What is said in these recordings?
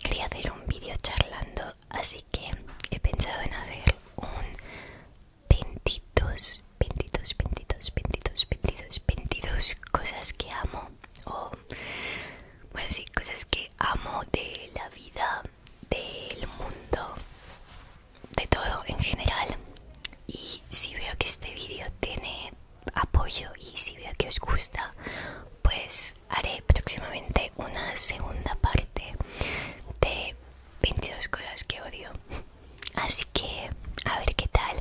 quería hacer un vídeo charlando, así que he pensado en hacer un 22, 22, 22, 22, 22, cosas que amo o bueno sí, cosas que amo de la vida, del mundo, de todo en general. Y si veo que este vídeo tiene apoyo y si veo que os gusta pues haré próximamente una segunda parte de 22 cosas que odio así que a ver qué tal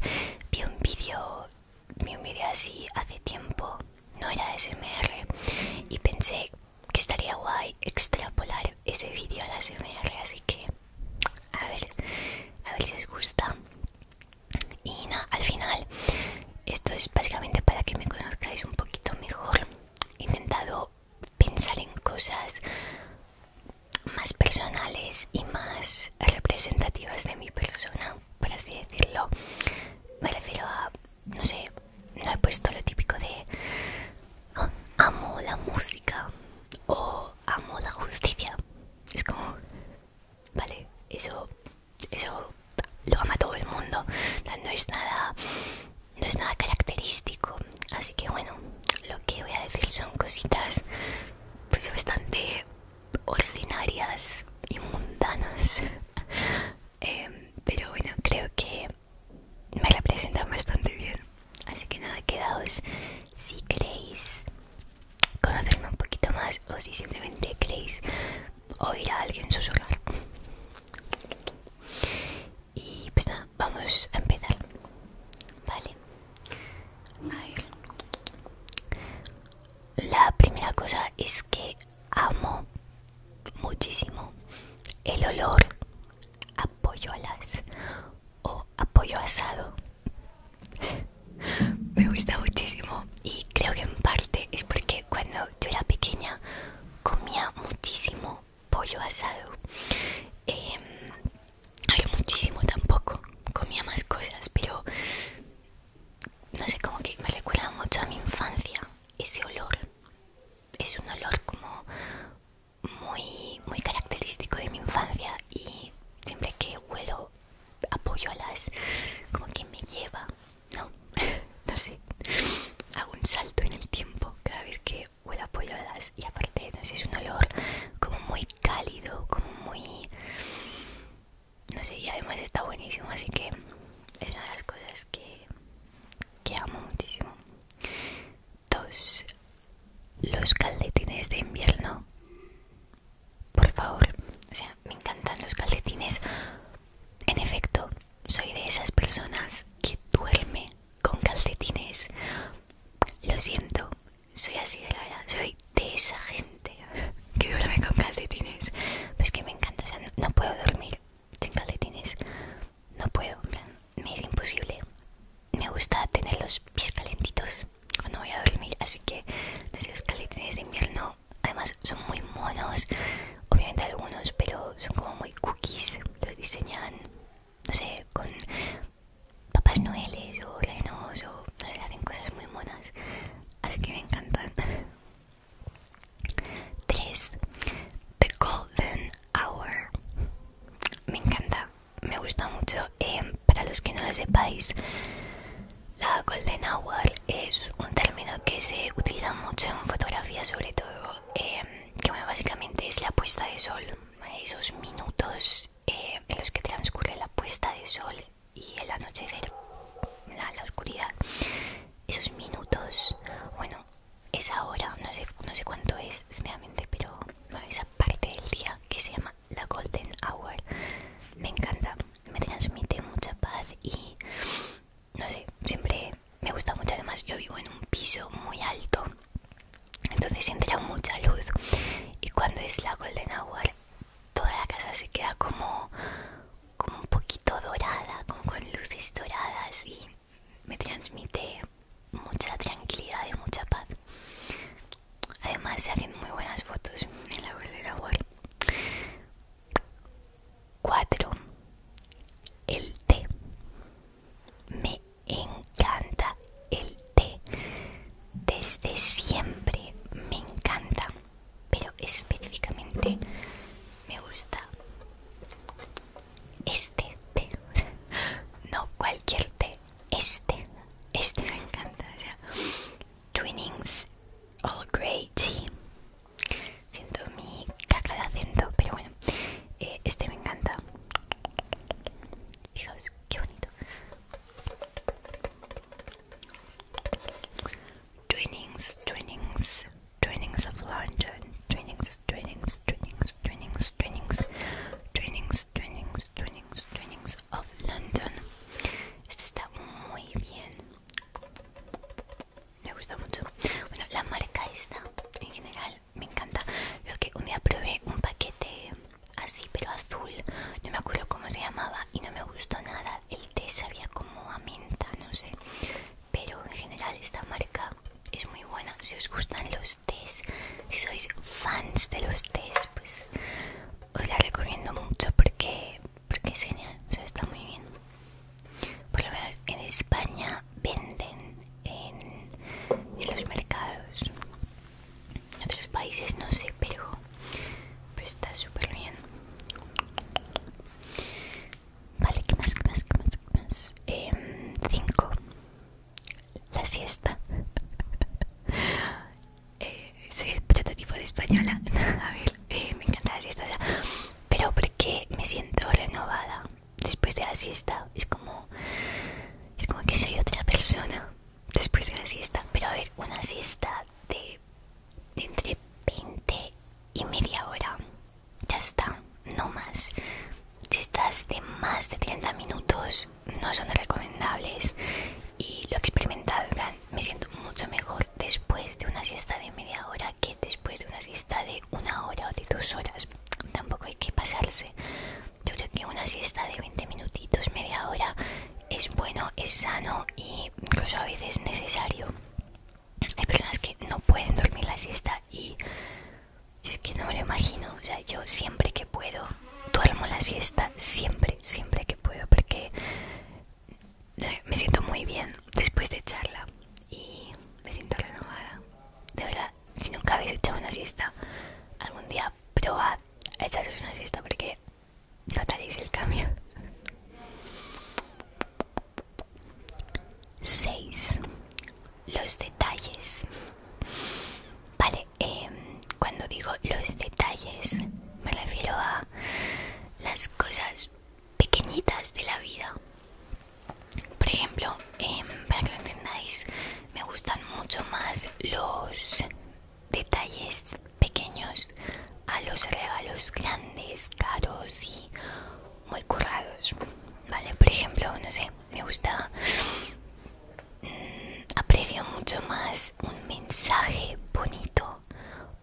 vi un vídeo vi un vídeo así hace tiempo no era de SMR y pensé que estaría guay extrapolar ese vídeo a la SMR así que a ver a ver si os gusta y al final esto es básicamente para que me conozcáis un poquito mejor he intentado pensar en cosas más personales y más representativas de mi persona por así decirlo me refiero a no sé no he puesto lo típico de ah, amo la música o amo la justicia es como ¿Vale? Eso, eso lo ama todo el mundo. No es nada, no es nada característico. Así que bueno, lo que voy a decir son cositas pues bastante ordinarias y mundanas. Em, pero bueno, creo que me representan bastante bien. Así que nada, quedaos si queréis conocerme un poquito más o si simplemente queréis oír a alguien susurrar. Y pues nada, vamos a empezar. Vale. La primera cosa es que amo muchísimo el olor a pollo alas o apoyo asado me gusta muchísimo y creo que en parte es porque cuando yo era pequeña comía muchísimo pollo asado eh, muchísimo tampoco comía más cosas pero no sé como que me recuerda mucho a mi infancia ese olor es un olor como muy muy característico de mi infancia y siempre que huelo apoyo a las como que me lleva no no sé hago un salto en el tiempo cada vez que huele apoyo a las y aparte no sé es un olor como muy cálido como muy no sé y además está buenísimo así que es una de las cosas que que amo muchísimo dos los caldetines de invierno por favor, o sea, me encantan los calcetines. En efecto, soy de esas personas que duerme con calcetines. Lo siento, soy así de la, soy de esa gente que duerme con calcetines. Pues que me encanta, no puedo dormir sin calcetines. No puedo, me es imposible. Me gusta tener los pies calentitos cuando voy a dormir así que los caletines de invierno además son muy monos obviamente algunos pero son como muy cookies los diseñan no sé con papas noeles o renos o no sé hacen cosas muy monas así que me encantan 3 The Golden Hour me encanta me gusta mucho. Eh, para los que no lo sepáis, la golden hour es un término que se utiliza mucho en fotografía, sobre todo, eh, que básicamente es la puesta de sol, esos minutos eh, en los que transcurre la puesta de sol y el anochecer, la, oscuridad, esos minutos, bueno, esa hora, no sé, cuánto es, sinceramente, pero esa parte del día que se llama la Golden Hour. Me encanta, me transmite mucha paz y no sé, siempre me gusta mucho. Además, yo vivo en un piso muy alto, entonces entra mucha luz. Y cuando es la Golden Hour, toda la casa se queda como, como un poquito dorada, como con luces doradas y me transmite mucha tranquilidad y mucha paz. Además hacen muy buenas fotos en la web de labor. 4. El té. Me encanta el té. Desde siempre me encanta. Pero específicamente me gusta este té. No cualquier té. Este, este me encanta. O twinings All great Tea. Siento mi caca de acento, pero bueno, eh, este me encanta. Fijaos, qué bonito. Twinnings, Twinnings, Twinnings of London. Twinnings, Twinnings, Twinnings, Twinnings, Twinnings, Twinnings, Twinnings, Twinnings, Twinnings of London. Este está muy bien. Me gusta mucho. Bueno, la marca esta en general me encanta. Lo que un día probé un paquete así, pero azul. No me acuerdo cómo se llamaba y no me gustó nada. El té sabía como a menta, no sé. Pero en general esta marca es muy buena. Si os gustan los tés si sois fans de los test pues os la recomiendo mucho porque, porque es genial o sea está muy bien por lo menos en España venden en, los mercados en otros países no sé pero pues está súper bien vale que más que más que más más 5 em, la siesta. Eh, soy el prototipo de española. A ver, eh, me encanta la siesta. pero porque me siento renovada después de la siesta. Es como, es como que soy otra persona después de la siesta. Pero a ver, una siesta de, de entre 20 y media hora. Ya está, no más. Si estás de más de 30 minutos, no son recomendables y lo he experimentado, me siento mucho mejor después de una siesta de media hora que después de una siesta de una hora o de dos horas. Tampoco hay que pasarse. Yo creo que una siesta de 20 minutitos, media hora, es bueno, es sano y incluso a veces necesario. Hay personas que no pueden dormir la siesta y es que no me lo imagino, o sea, yo siempre que puedo duermo la siesta, siempre, siempre que puedo, porque eh, me siento muy bien después de echarla y me siento renovada. De verdad, si nunca habéis echado una siesta, algún día probad a echaros una siesta porque notaréis el cambio. 6. Los detalles. Vale, Em, cuando digo los detalles me refiero a las cosas pequeñitas de la vida por ejemplo en em, para que lo entendáis me gustan mucho más los detalles pequeños a los regalos grandes caros y muy currados vale por ejemplo no sé me gusta aprecio mucho más un mensaje bonito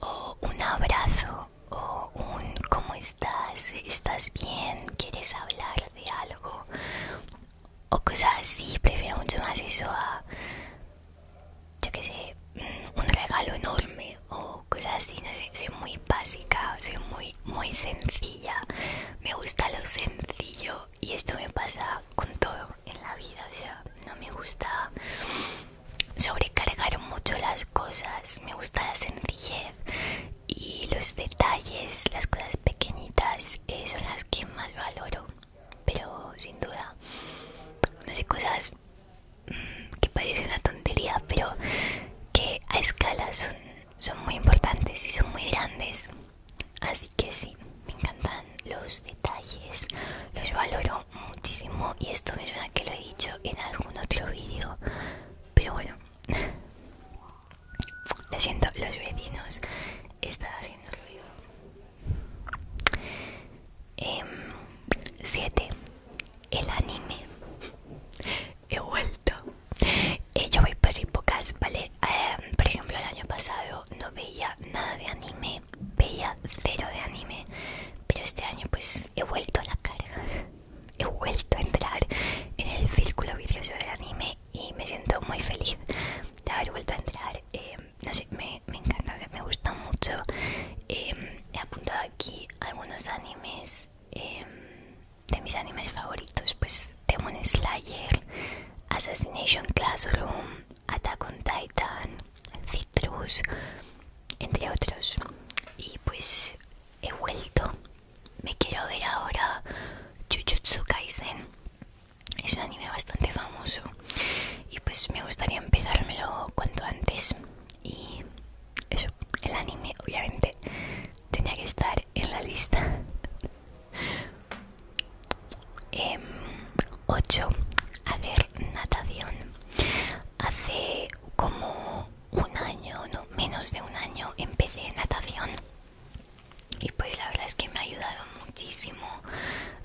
o un abrazo o un ¿cómo estás? ¿Estás bien? ¿Quieres hablar de algo? O cosas así, prefiero mucho más eso a, yo qué sé, mm, un regalo enorme o cosas así, no sé, soy muy básica, soy muy, muy sencilla, me gusta lo sencillo y esto me pasa con todo en la vida, o sea, no me gusta sobrecargar mucho las cosas, me gusta la sencillez y los detalles, las cosas pequeñitas eh, son las que más valoro, pero sin duda, no sé, cosas mm, que parecen una tontería, pero que a escala son, son muy importantes y son muy grandes. Así que sí, me encantan los detalles, los valoro muchísimo y esto me suena que lo he dicho en algún otro vídeo, pero bueno, lo siento, los vecinos están haciendo ruido. 7. Em, el anime he vuelto. Eh, yo voy por épocas, ¿vale? Em, por ejemplo, el año pasado no veía nada de anime, veía cero de anime, pero este año pues he vuelto a la carga, he vuelto a entrar en el círculo vicioso del anime y me siento muy feliz de haber vuelto a entrar. Em, no sé, me, me encanta, me gusta mucho. Em, he apuntado aquí algunos animes de mis animes favoritos, pues Demon Slayer, Assassination Classroom, Attack on Titan, Citrus, entre otros. Y pues he vuelto. Me quiero ver ahora Jujutsu Kaisen. Es un anime bastante famoso y pues me gustaría empezármelo cuanto antes. Y eso, el anime obviamente tenía que estar en la lista. 8. Em, hacer natación. Hace como un año, no, menos de un año, empecé natación. Y pues la verdad es que me ha ayudado muchísimo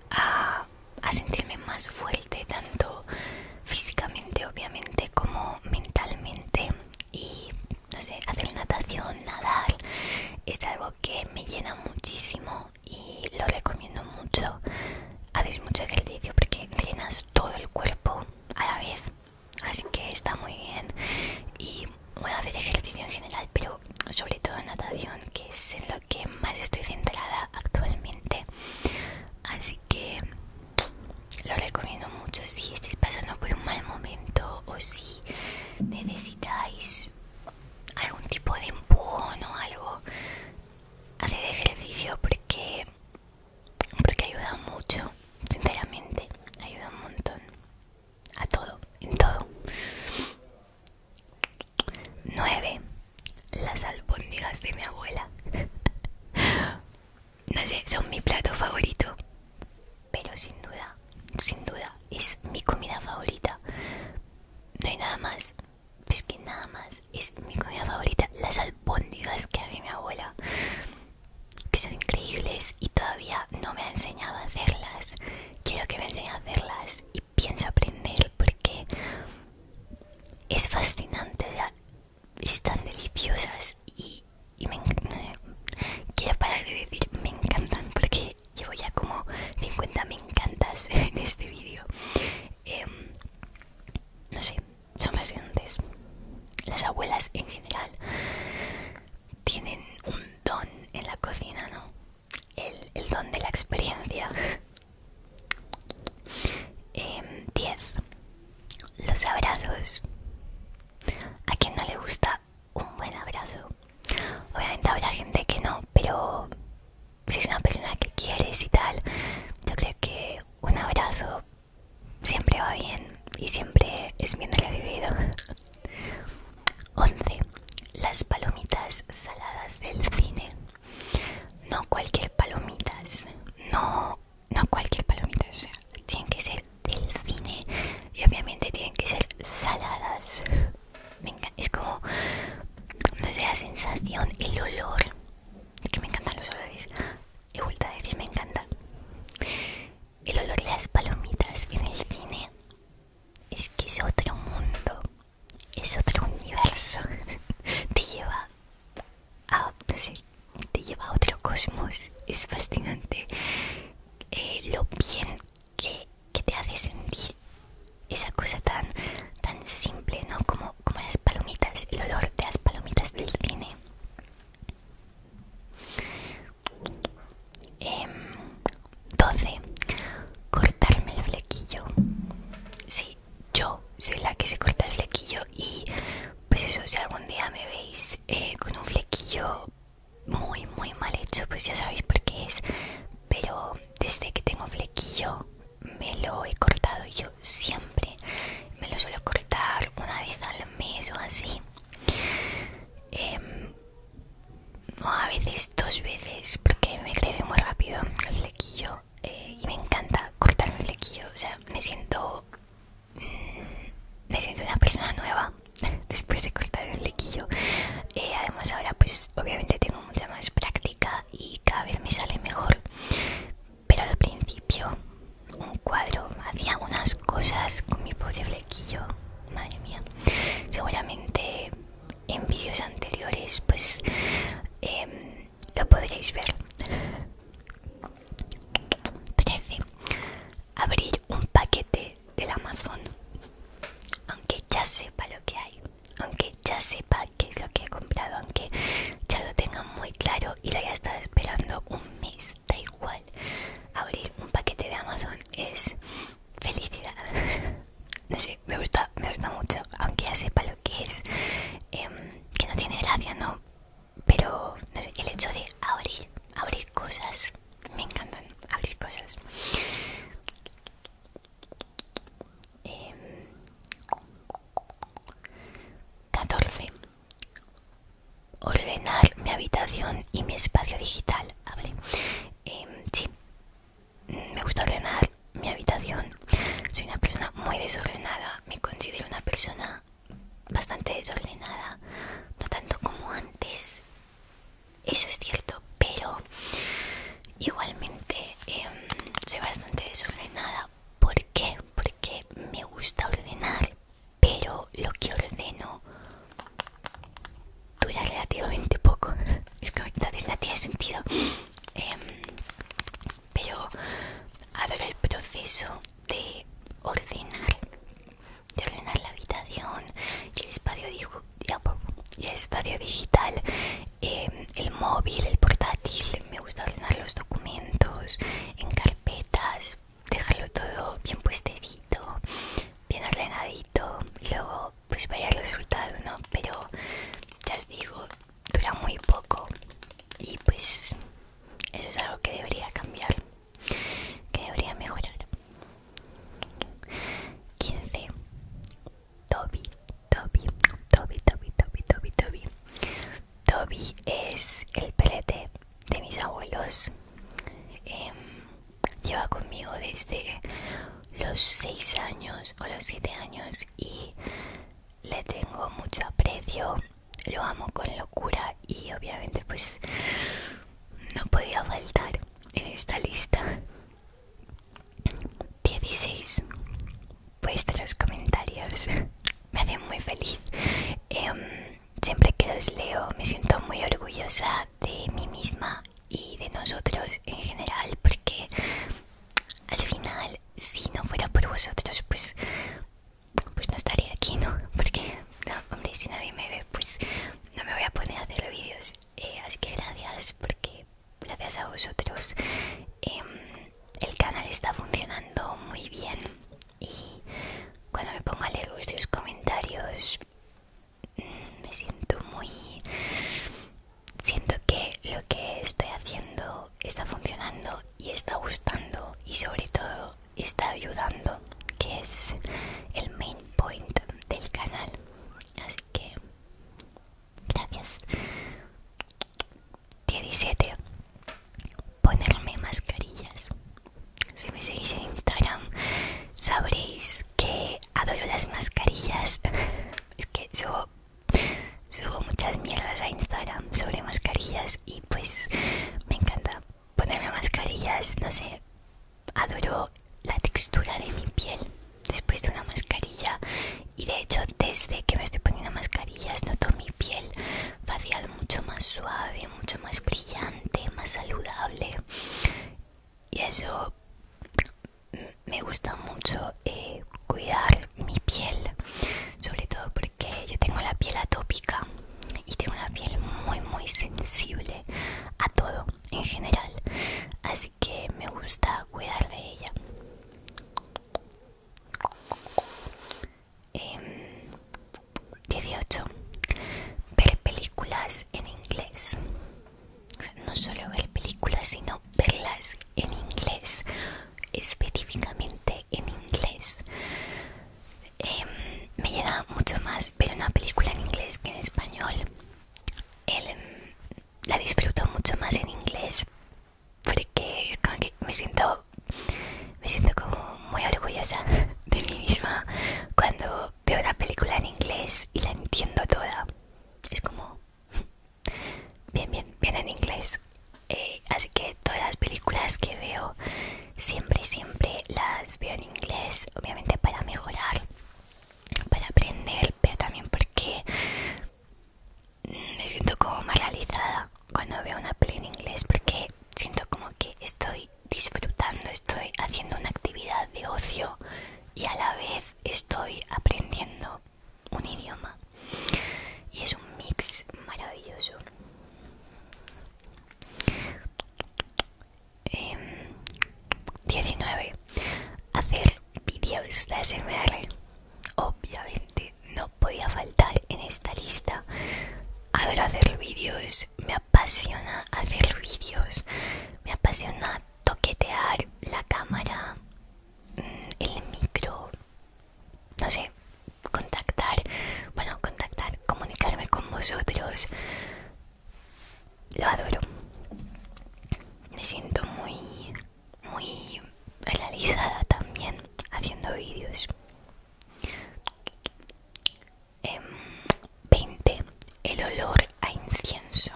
a, a sentirme más fuerte, tanto físicamente obviamente como mentalmente. Y no sé, hacer natación, nadar, es algo que me llena muchísimo y lo recomiendo mucho. Hacéis mucho ejercicio porque llenas todo el cuerpo a la vez, así que está muy bien. Y bueno, hacer ejercicio en general, pero sobre todo natación, que es en lo que más estoy centrada actualmente. Así que lo recomiendo mucho si estáis pasando por un mal momento o si necesitáis algún tipo de empujón o algo hacer ejercicio porque porque ayuda mucho sinceramente ayuda un montón a todo en todo 9 las albóndigas de mi abuela no sé, son mi plato favorito. Pero sin duda, sin duda, es mi comida favorita. No hay nada más. Es pues que nada más. Es mi comida favorita. Las albóndigas que había mi abuela. Que son increíbles y todavía no me ha enseñado a hacerlas. Quiero que me enseñe a hacerlas y pienso aprender porque es fascinante. O sea, están deliciosas y y me quiero parar de decir me encantan porque llevo ya como 50 me encantas en este vídeo em, no sé son fascinantes las abuelas en general tienen un don en la cocina no el, don de la experiencia 10 em, los abrazos. ¿A quien no le gusta un buen abrazo? Obviamente habrá gente que no, pero si es una persona que quieres y tal, yo creo que un abrazo siempre va bien y siempre es bien recibido. 11. Las palomitas saladas del cine. No cualquier palomitas, no no cualquier palomita, o sea, tienen que ser del cine y obviamente tienen que ser saladas. Venga, es como, no sé, la sensación, el olor, es que me encantan los olores, he vuelto a me encanta. El olor de las palomitas en el cine es que es otro mundo, es otro universo, te lleva a, no te lleva a otro cosmos. Es fascinante eh, lo bien que, que te hace sentir esa cosa tan, tan simple, ¿no? Como, como las palomitas, el olor de las palomitas del cine. 12. Em, cortarme el flequillo. Sí, yo soy la que se corta el flequillo y pues eso si algún día me veis eh, con un flequillo muy muy mal hecho pues ya sabéis por qué es pero desde que tengo flequillo me lo he cortado yo siempre me lo suelo cortar una vez al mes o así em, no, a veces dos veces porque me crece muy rápido el flequillo eh, y me encanta cortar el flequillo o sea me siento me siento una persona nueva después de cortar el flequillo, eh, además ahora pues obviamente tengo mucha más práctica y cada vez me sale mejor. Pero al principio un cuadro hacía unas cosas con mi pobre flequillo, madre mía. Seguramente en vídeos anteriores pues em, lo podréis ver. 13. Abrir un paquete del Amazon. Aunque ya sepa lo que hay. Aunque ya sepa qué es lo que he comprado. Aunque ya lo tenga muy claro y lo haya estado esperando un mes. Da igual. Abrir un paquete de Amazon es felicidad. No sé, me gusta, me gusta mucho. Aunque ya sepa lo que es. Em, que no tiene gracia, ¿no? pero no sé, el hecho de abrir, abrir cosas, me encantan abrir cosas. Em, catorce Ordenar mi habitación y mi espacio digital. Em, sí, me gusta ordenar mi habitación. Soy una persona muy desordenada. Me considero una persona bastante desordenada, no tanto como antes, eso es cierto, pero igualmente em, soy bastante desordenada. ¿Por qué? Porque me gusta ordenar, pero lo que ordeno dura relativamente poco. Es que no tiene sentido. Em, pero a ver el proceso de ordenar, de ordenar la habitación, el espacio, el espacio digital, em, el móvil, el portátil. Me gusta ordenar los documentos en carpetas, dejarlo todo bien puestecito, bien ordenadito. Y luego, pues vaya el resultado, ¿no? Pero ya os digo, dura muy poco y pues eso es algo que debería cambiar que debería mejorar 15 Toby Toby Toby Toby Toby Toby Toby Toby es el pelete de mis abuelos em, lleva conmigo desde los 6 años o los 7 años y le tengo mucho aprecio lo amo con locura y obviamente pues no podía faltar en esta lista 16 vuestros comentarios me hacen muy feliz em, siempre que los leo me siento muy orgullosa de mí misma y de nosotros en general porque al final si no fuera por vosotros pues pues no estaría aquí, ¿no? Porque, no, hombre, si nadie me ve, pues no me voy a poner a hacer los vídeos. Eh, así que gracias, porque gracias a vosotros em, el canal está funcionando muy bien. Y cuando me pongo a leer vuestros comentarios, mm, me siento muy... Siento que lo que estoy haciendo está funcionando y está gustando y sobre todo está ayudando que es el main point del canal así que gracias 17 ponerme mascarillas si me seguís en instagram sabréis que adoro las mascarillas es que yo Subo muchas mierdas a Instagram sobre mascarillas y pues me encanta ponerme mascarillas, no sé, adoro la textura de mi piel después de una mascarilla y de hecho desde que me estoy poniendo mascarillas noto mi piel facial mucho más suave, mucho más brillante, más saludable y eso me gusta mucho eh, cuidar mi piel, sobre todo porque yo tengo la piel atópica y tengo la piel muy muy sensible a todo en general, así que me gusta cuidar de ella. 18. Em, ver películas en inglés. no solo ver películas, sino verlas en inglés, específicamente en inglés. Em, me llega mucho más ver una película en inglés que en español. Em, la disfruto mucho más en inglés porque es como que me siento, me siento como muy orgullosa de mí misma cuando veo la película en inglés y la entiendo toda. Es como bien, bien, bien en inglés. Eh, así que todas las películas que veo siempre, siempre las veo en inglés, obviamente para mejorar, para aprender, pero también porque mm, me siento como más realizada cuando veo una peli en inglés porque siento como que estoy disfrutando, estoy haciendo una actividad de ocio y a la vez estoy aprendiendo un idioma y es un mix maravilloso 19 em, hacer vídeos de SMR obviamente no podía faltar en esta lista adoro hacer vídeos me apasiona hacer vídeos me apasiona toquetear la cámara mm, el micro no sé, contactar, bueno, contactar, comunicarme con vosotros. Lo adoro. Me siento muy, muy realizada también haciendo vídeos. 20. Em, el olor a incienso.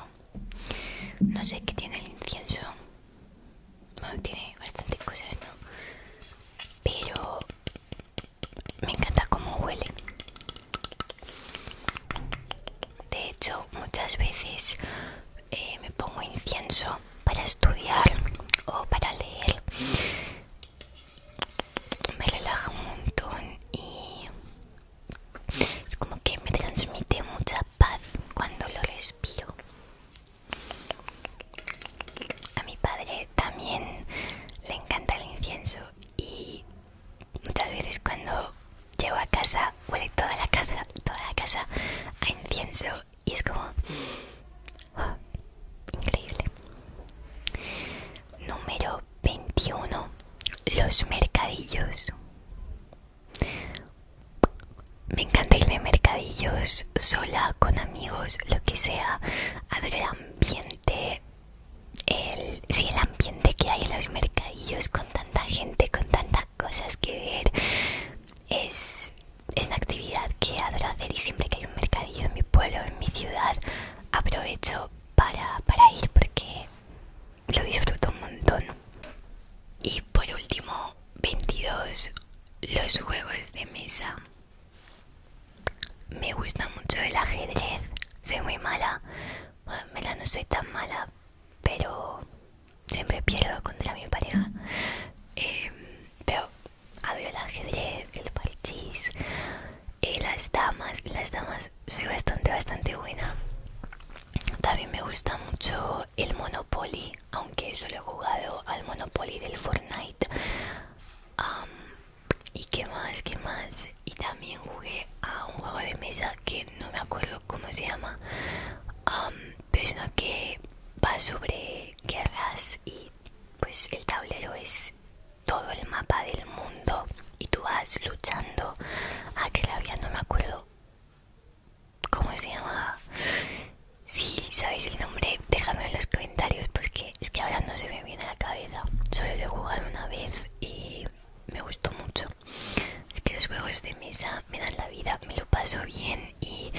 No sé qué tiene el incienso tiene bastantes cosas, ¿no? Pero me encanta cómo huele. De hecho, muchas veces eh, me pongo incienso para estudiar o para leer. Me relaja un montón y es como que me transmite mucha paz cuando lo respiro. A mi padre también le encanta el incienso y muchas veces cuando llego a casa huele toda la casa, toda la a incienso y es como ¡ah! increíble. Número 21. Los mercadillos. Me encanta ir de mercadillos sola, con amigos, lo que sea. Adoro el ambiente. El, el ambiente que hay en los mercadillos con tanta gente, con tantas cosas que ver. Es, una actividad que adoro hacer y siempre que hay un mercadillo en mi pueblo, en mi ciudad, aprovecho para, para ir porque lo disfruto un montón. Y por último, 22. Los juegos de mesa. Me gusta mucho el ajedrez. Soy muy mala. Bueno, la no soy tan mala, pero siempre pierdo contra mi pareja. Em, pero adoro el ajedrez, el parchís, eh, las damas. Las damas soy bastante, bastante buena. También me gusta mucho el Monopoly, aunque solo he jugado al Monopoly del Fortnite. y qué más, qué más. Y también jugué a un juego de mesa que no me acuerdo cómo se llama, pues pero es uno que va sobre guerras y pues el tablero es todo el mapa del mundo y tú vas luchando. a ah, que la había, no me acuerdo ¿Cómo se llama? Si sabéis el nombre, dejadme en los comentarios porque es que ahora no se me viene a la cabeza. Solo lo he jugado una vez y me gustó mucho. Es que los juegos de mesa me dan la vida, me lo paso bien y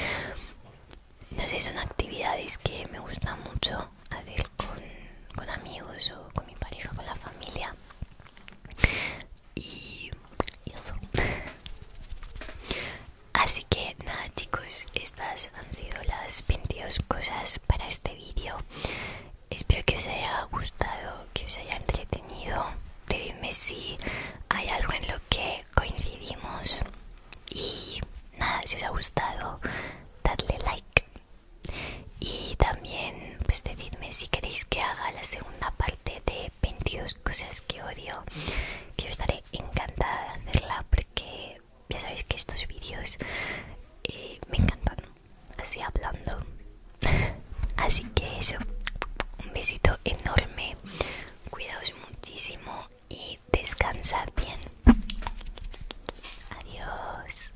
no sé, son actividades que me gusta mucho hacer con, con amigos o con mi pareja, con la familia y eso así que nada chicos estas han sido las 22 cosas para este vídeo espero que os haya gustado que os haya entretenido decidme si hay algo en lo que coincidimos y nada si os ha gustado dadle like y también pues decidme si queréis que haga la segunda parte de 22 cosas que odio que yo estaré encantada de hacerla porque ya sabéis que estos vídeos eh, me encantan así hablando así que eso un besito enorme cuidaos muchísimo y descansad bien adiós